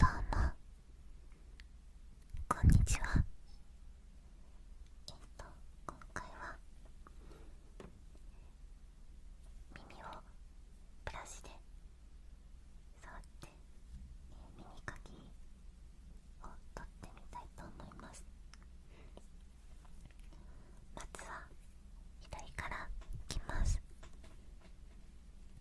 どうもこんにちはえっと今回は耳をブラシで触って、え耳かきを取ってみたいと思いますまずは左からいきます。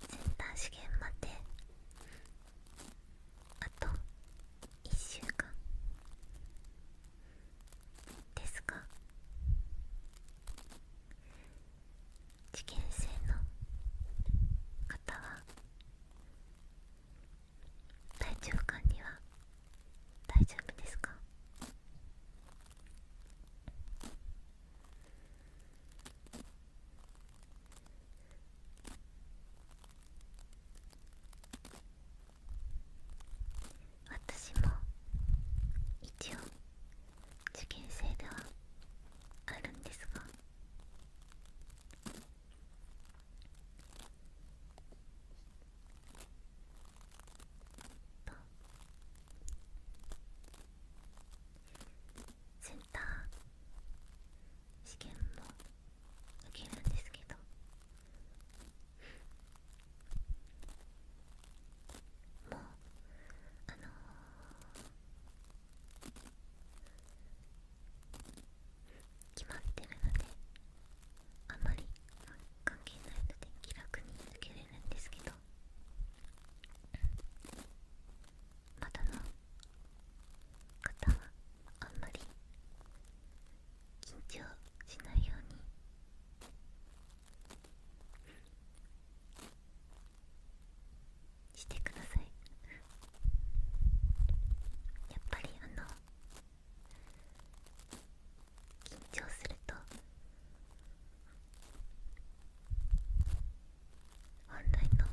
センター試験まであと1週間ですが受験生の方は体調管理は大丈夫ですか私も一応受験生ではあるんですがとセンター試験も受けるんですけどもうあの決まってるのであまり関係ないので気楽に受けれるんですけど窓の方はあんまり緊張しないようにしてくださいやっぱりあの緊張すると本来の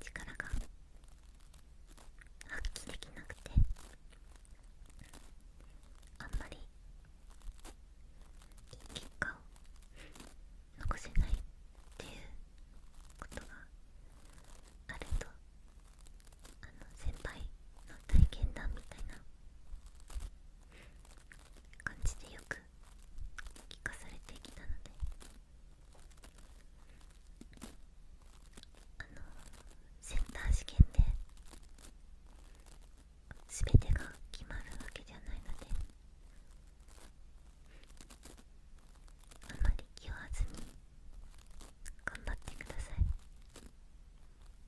力が発揮できなくてあんまり結果を残せないっていうことがあるとあの先輩の体験談みたいな感じでよく聞かされてきたのであのセンター試験で全てが決まるわけじゃないのであまり気負わずに頑張ってください。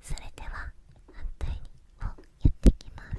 それでは反対をやっていきます。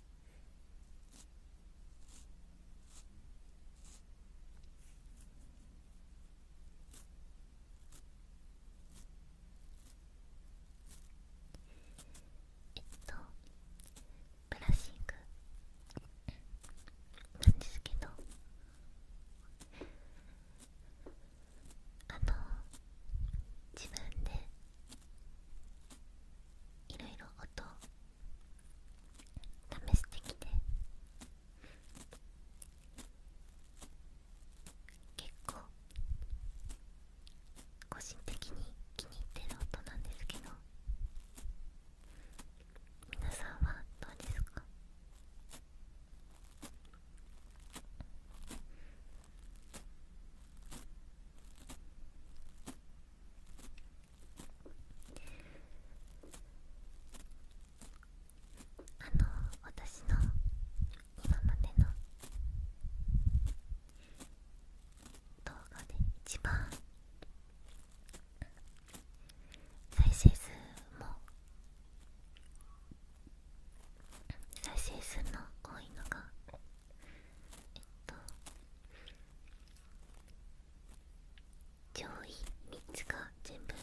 えっとブラッシングなんですけどあの自分でいろいろ音試してきて結構個人的に気に入ってる音なんですけど皆さんはどうですかあの私の今までの動画で一番再生数も再生数の多いのがえっと上位3つが全部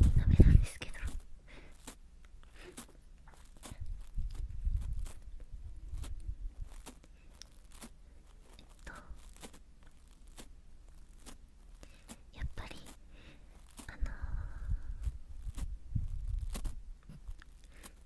みんな目なんですけどえっとやっぱりあのー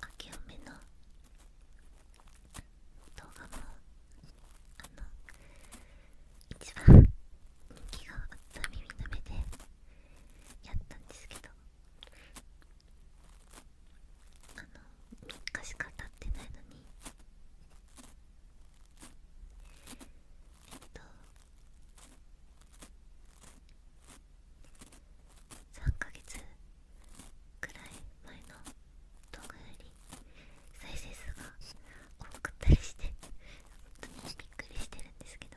かけおめの動画もあの一番人気があった耳の目でやったんですけどあの3日しか経ってないのにえっと3ヶ月くらい前の動画より再生数が多かったりして本当にびっくりしてるんですけど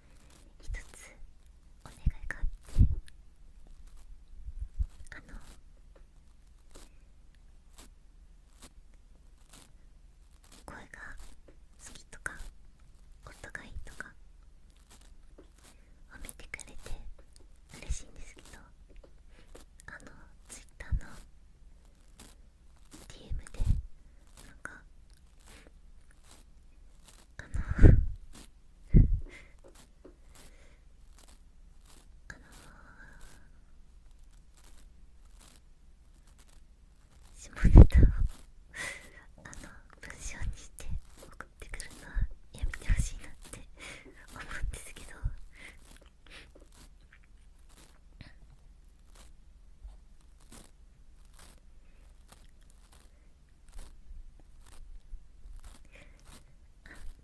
一つお願いがあってあの声が好きとか音がいいとか褒めてくれて嬉しいんですけどあのツイッターの DM でなんかあの。あの下ネタをあの文章にして送ってくるのはやめてほしいなって思うんですけどあ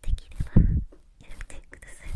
できればやめてください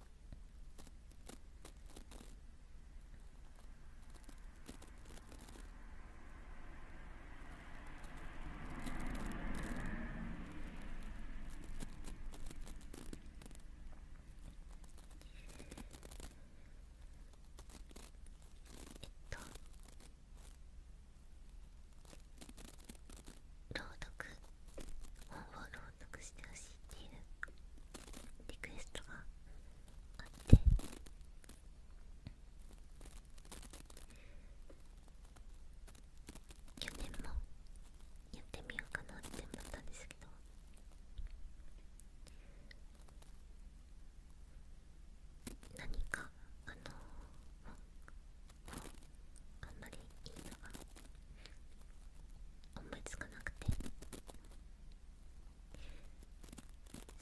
と朗読本を朗をなしてほしいっていうリクエストがあって去年もやってみようかなって思ったんですけど何かあのあんまりいいのが思いつかなくて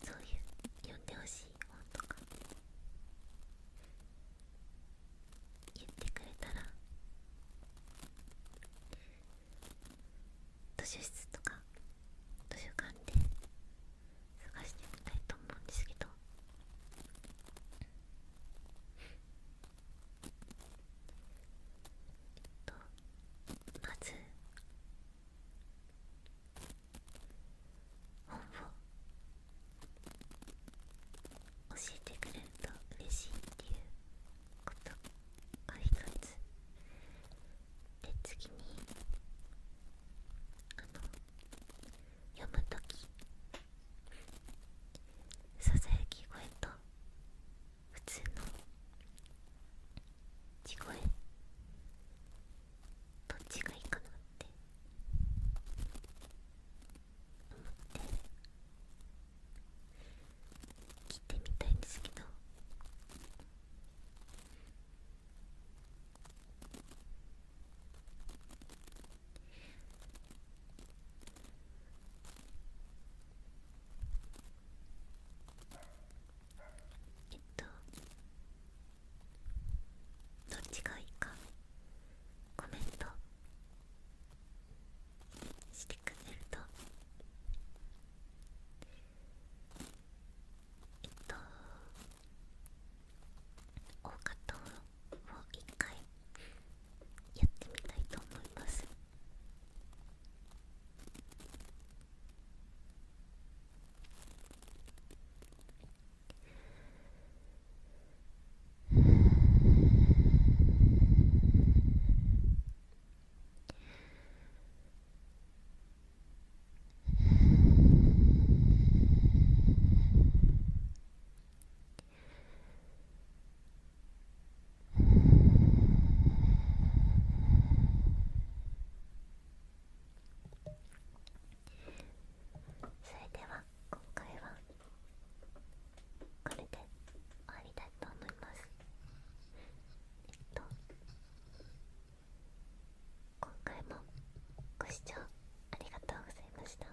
そういう読んでほしい本とか言ってくれたら図書室とか図書館で探してみたいと思うんですけどえっとまず本を教えてくれると嬉しいっていうことが一つで次にあの読むときささやき声と普通の地声どっちがいいかなって思って切ってみたいんですけどえっとどっちがいいかコメントしてくれるとえっと大加藤を一回やってみたいと思いますそれでは今回はこれで終わりたいと思いますえっと今回もご視聴ありがとうございました